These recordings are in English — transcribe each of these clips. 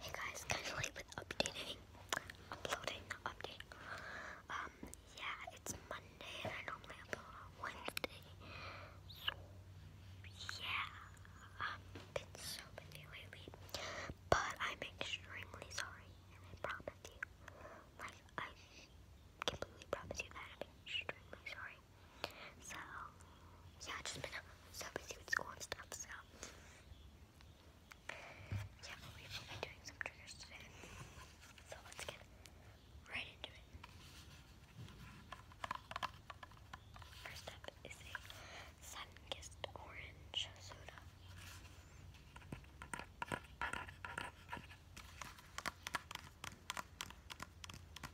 Hey guys, kind of late with updating, uploading, updating. Um, yeah, it's Monday and I normally upload on Wednesday. So, yeah, I've so busy lately. But I'm extremely sorry and I promise you, like, I completely promise you that I'm extremely sorry. So, yeah, I've just been so busy with school and stuff, so. Yeah, but we will be doing some triggers today. So let's get right into it. First up is a sun-kissed orange soda.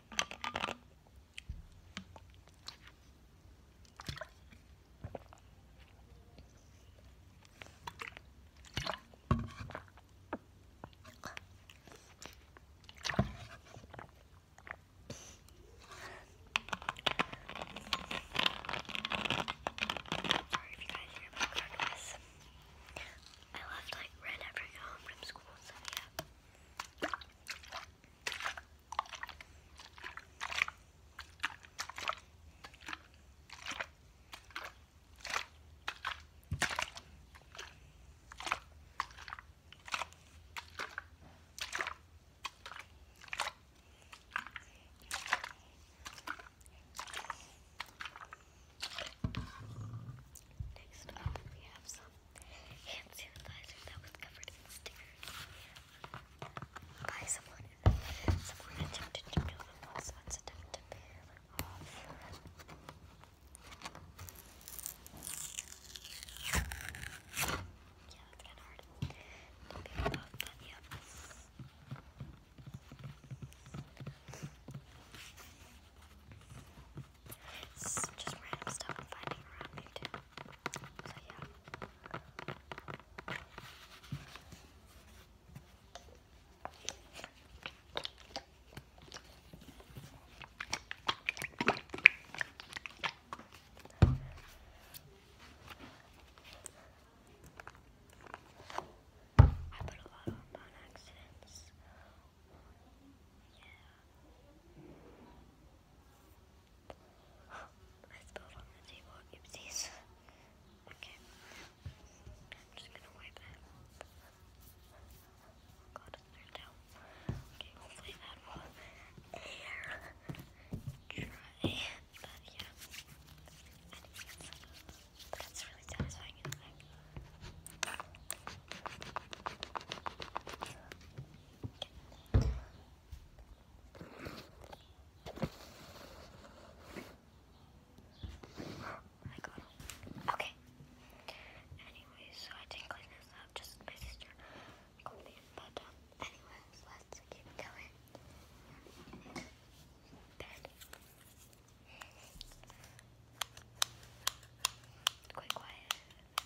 Sorry if you guys hear my car I left like right after home from school, so yeah. Next up, we have some hand sanitizer that was covered in stickers by someone. Someone attempted to do them once, once to peel them off. Yeah, that's hard to peel it off, but yeah. It's just random stuff I'm finding around me too. So yeah. I put a lot on accidents Oh, I spilled on the table. Oopsies. Okay. I'm just gonna wipe it. Oh god, it's turned out. Okay, hopefully that will air. Try. But yeah. that's, really satisfying, I got Okay. Anyways, so I didn't clean this up, just my sister called me. anyways, let's keep going. quiet.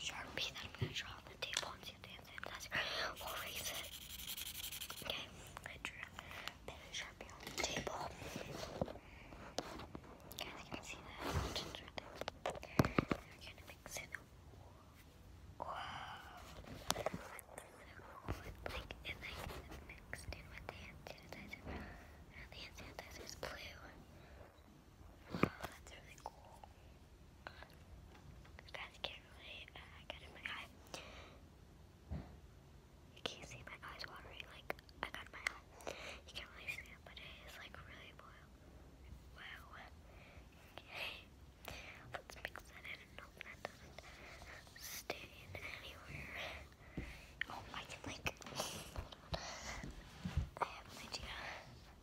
Sharpie that I'm going to draw on the table and see if they have sanitizer. We'll erase it. Okay, I drew a Sharpie on the table. Okay, I see the options right going to mix it. Wow. Like, like, it like mixed in with the hand the hand is blue. That's really cool. guys can't really uh, my eye. You can't see my eyes watering, like, I got my eye. You can't really see it, but it is, like, really boiled. Wow. Okay. Let's mix that in and hope that does anywhere. Oh, I can, like, I have an idea.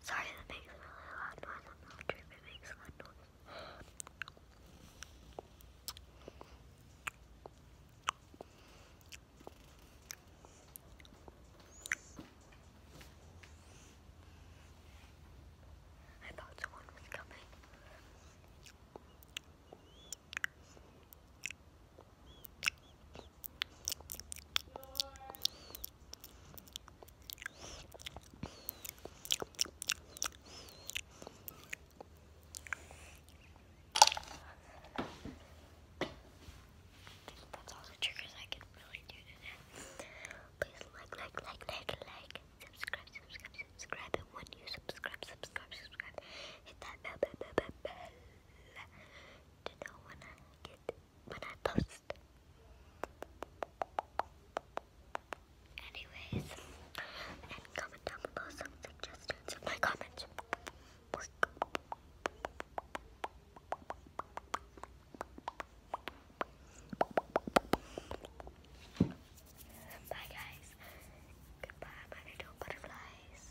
Sorry, that makes really loud noise. I'm not sure it makes loud noise. I thought someone was coming. That's all the triggers I can really do today. Please like, like, like, like, like, subscribe, subscribe, subscribe, and when you subscribe, subscribe, subscribe, hit that bell, bell, bell, bell to know when I get when I post. Anyways, and comment down below some suggestions in my comments. Bye guys. Goodbye, my little butterflies.